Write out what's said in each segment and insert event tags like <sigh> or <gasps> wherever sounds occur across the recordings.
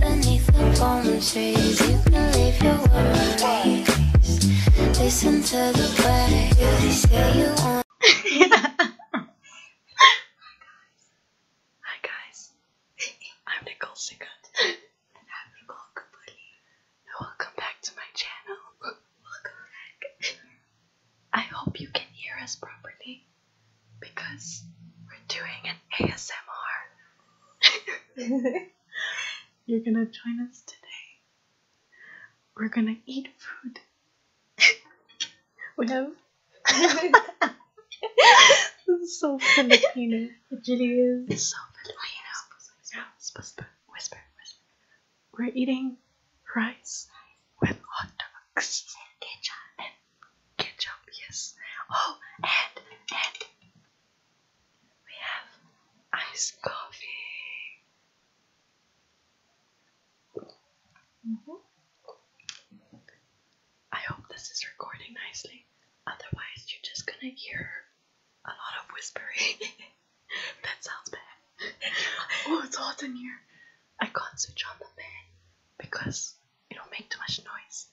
Beneath the palm you can leave your worries. Listen to the way they say you want. Hi guys, I'm Nicole Sickert, and <laughs> I'm Nicole Kapuli welcome back to my channel. welcome back. I hope you can hear us properly because we're doing an ASMR. <laughs> You're gonna join us today. We're gonna eat food. we have. this <laughs> is so Filipino. It really is. It's so Filipino. Whisper, whisper, whisper. We're eating rice with hot dogs ketchup. And ketchup, yes. Oh, and and we have iced coffee. Mm-hmm. I hope this is recording nicely. Otherwise, you're just gonna hear a lot of whispering. <laughs> that sounds bad. <laughs> oh, it's hot in here. I can't switch on the fan because it'll make too much noise.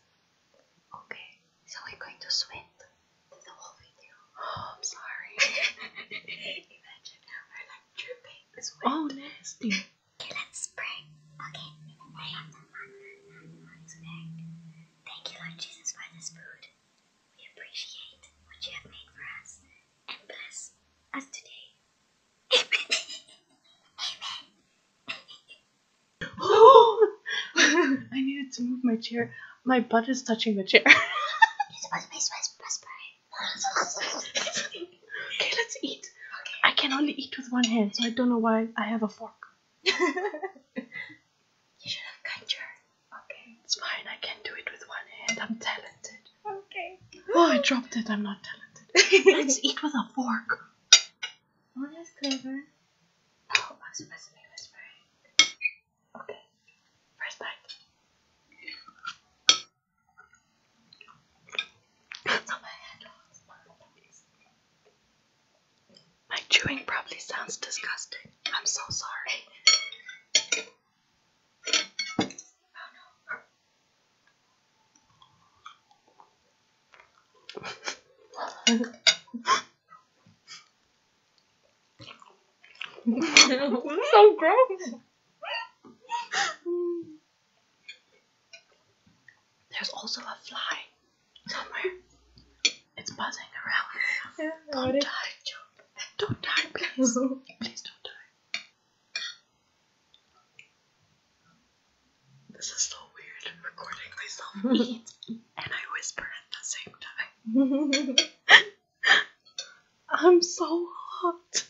Okay, so we're going to sweat through the whole video. Oh, I'm sorry. <laughs> Imagine we're like dripping sweat. Oh, nasty. <laughs> okay, let's pray. Okay, I pray. Thank you, Lord Jesus, for this food. We appreciate what you have made for us and bless us today. Amen. <laughs> Oh! I needed to move my chair. My butt is touching the chair. okay, let's eat. I can only eat with one hand, so I don't know why I have a fork. <laughs> you should have cut your Okay. It's fine, I can do it with one hand. I'm talented. Okay. Oh, I dropped it. I'm not talented. Let's <laughs> eat with a fork. Oh, that's clever. Oh, I was supposedly whispering. Okay. First bite. <laughs> My chewing probably sounds disgusting. I'm so sorry. so gross. There's also a fly somewhere. It's buzzing around. don't die, Joe. Don't die, please. please don't die. This is so weird recording myself eat <laughs> and I whisper at the same time. <laughs> I'm so hot.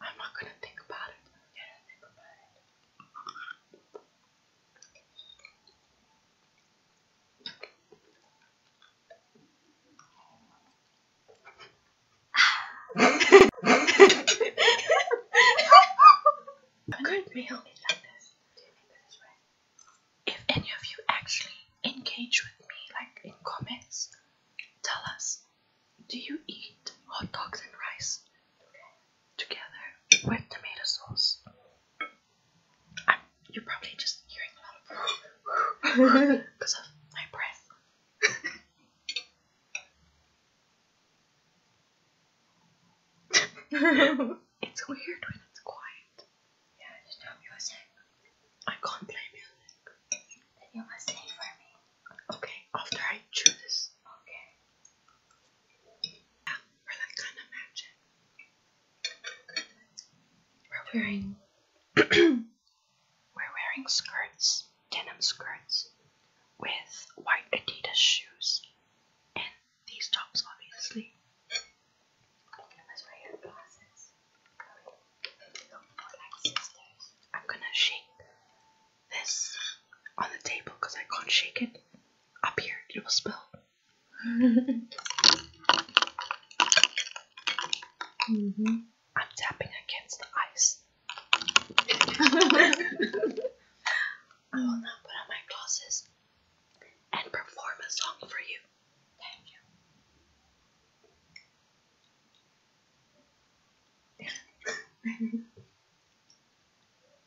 I'm not gonna think about it. Yeah, think about it. A good meal is like this. If any of you actually engage with me, like in comments, tell us do you eat hot dogs and rice together with tomato sauce? I'm, you're probably just hearing a lot of because of my breath. <laughs> it's weird when it's quiet. Yeah, just no music. I can't play music. Then you must play for me. Okay, after I chew this. Okay. Yeah, we're like kind of matching. We're wearing <clears throat> we're wearing skirts, denim skirts, with white Adidas shoes, and these tops, obviously. I'm gonna shake this on the table because I can't shake it up here, you will spill. Mm-hmm. I'm tapping against the ice. <laughs> I will now put on my glasses and perform a song for you. Thank you.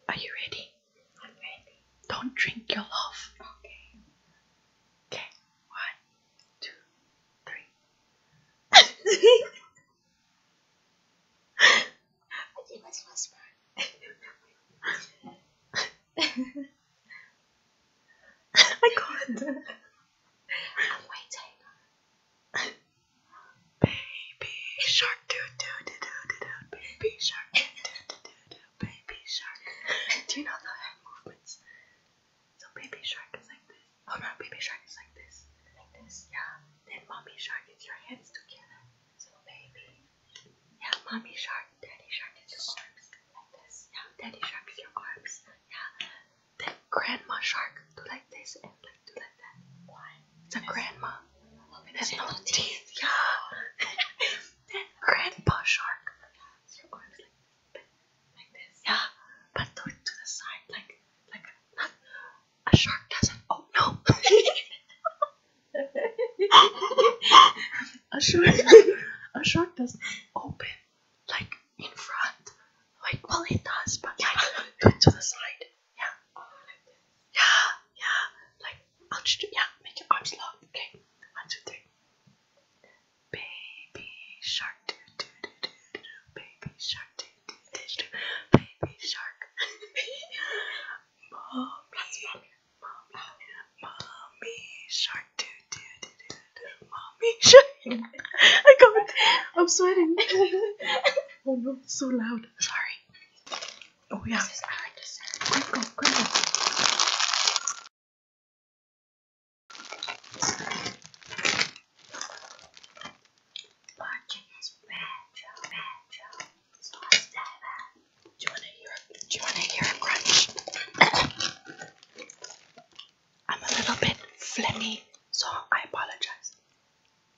Are you ready? Don't drink your love. Okay. Okay. One, two, three. <laughs> I can't. <laughs> <laughs> I'm waiting. Baby shark do do do do do do baby shark do do do do do baby shark. Do you know the head movements? So baby shark is like this. Oh no, baby shark is like this. Like this. Yeah. Then mommy shark is your hands together. So baby. Yeah, mommy shark, daddy shark is your arms. Like this. Yeah, daddy shark is your arms. Yeah. Then grandma shark do like this and it's a grandma. Oh, it has no teeth. Yeah. <laughs> grandpa shark. like this. Yeah, but do it to the side, like like not a shark doesn't. Oh no. <laughs> a shark. A shark doesn't open like in front. Like well, it does, but like do it to the side. Yeah. Yeah yeah. Like, I'll just, yeah, make your arms long. Okay, one, two, three. Baby shark, do do do do do, baby shark, do do do do, baby shark. mommy, mommy, mommy shark, do do do do, mommy shark. I can't. I'm sweating. oh no, it's so loud. Sorry. Oh yeah. This Quick go, quick go. Do you wanna hear Do you wanna hear a crunch? I'm a little bit phlegmy, so I apologize.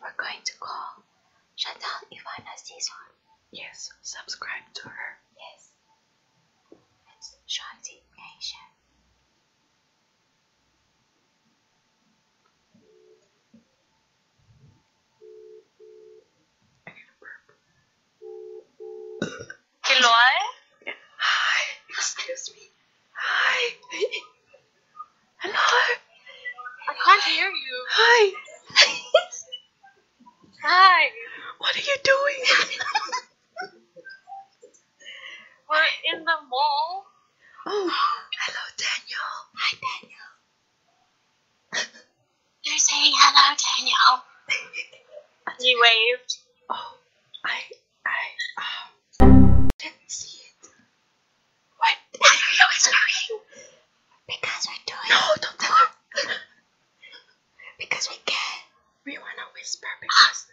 We're going to call Chantal Ivana Cesar. Yes, subscribe to her. Yes. It's Shanti Nation. Hello? Hi. Excuse me. Hi. <laughs> Hello. I can't hear you. Hi. <laughs> Hi. What are you doing? <laughs> We're in the mall. Oh, hello, Daniel. Hi, Daniel. <laughs> You're saying hello, Daniel. he waved. Oh, I, I, um, didn't see it. Why? Because we're doing. No, don't tell her. because we care. We wanna whisper because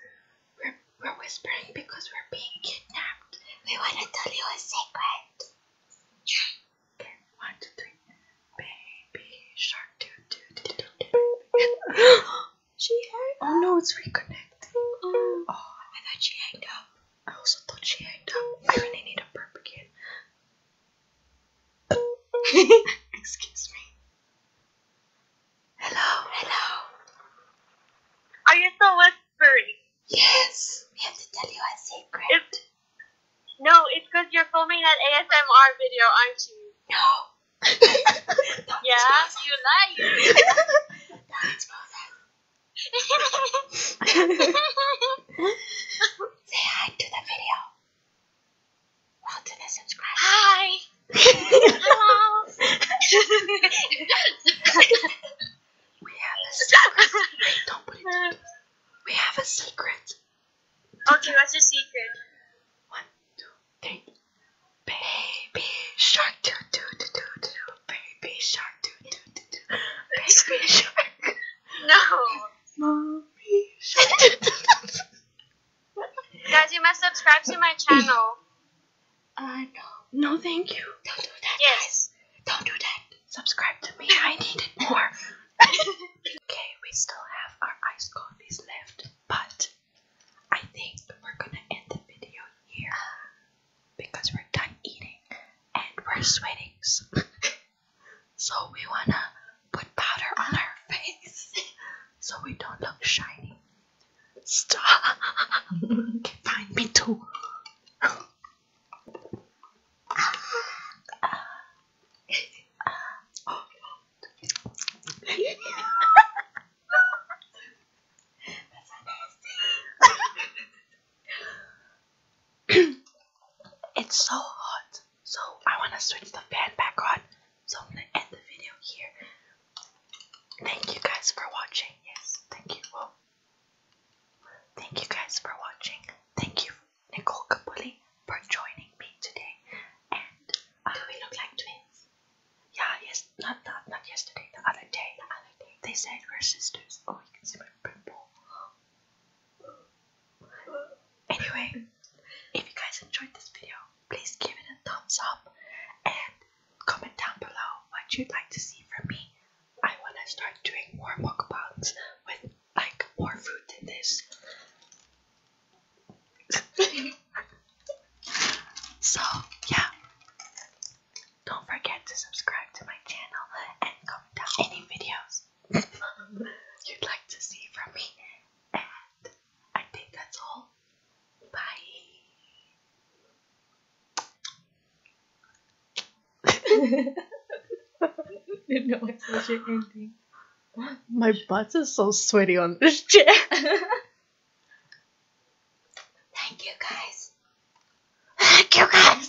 we're we're whispering because we're being kidnapped. We wanna tell you a secret. Okay. One, two, three. Baby shark. Do, <gasps> she hung. Oh no, it's reconnecting. oh, I thought she hung up. I also thought she hanged up. I really need a burp again. <laughs> Excuse me. Hello, hello. Are you still whispering? Yes. We have to tell you a secret. no, it's because you're filming that ASMR video, aren't you? No. <laughs> yeah, <laughs> you lie. Say hi to the video. Well, to the subscribe. Hi. Hello. we have a secret. don't put it. We have a secret. Okay, what's your secret? One, two, three. Baby shark, do do do do do. Baby shark, do do. do. Baby <laughs> shark. No. Mommy shark. <laughs> Guys, you must subscribe to my channel. Uh, <laughs> no. No, thank you. Don't do that, yes. guys. Don't do that. Subscribe to me. I need it more. okay, we still have our iced coffees left, but I think we're gonna end the video here because we're done eating and we're sweating. <laughs> So, we wanna put powder on our face <laughs> so we don't look shiny. Stop! <laughs> Find me too. Oh, <laughs> it's so hot. So I want to switch the fan back on. So I'm going to end the video here. Thank you guys for watching. Yes, thank you. thank you guys for watching. Thank you, Nicole Capulli, for joining me today. Uh, do we look like twins? Yeah, yes, not that, not yesterday, the other day, the other day. They said we're sisters. Oh, you can see my pimple. Anyway, if you guys enjoyed this video, please give it a thumbs up and comment down below what you'd like to see from me. I want to start doing more mukbangs with like more food than this. <laughs> so, yeah. Don't forget to subscribe to my channel and comment down any videos <laughs> you'd like to see from me. And I think that's all. Bye. <laughs> Didn't know I My butt is so sweaty on this chair. <laughs> Thank you guys. Thank you guys.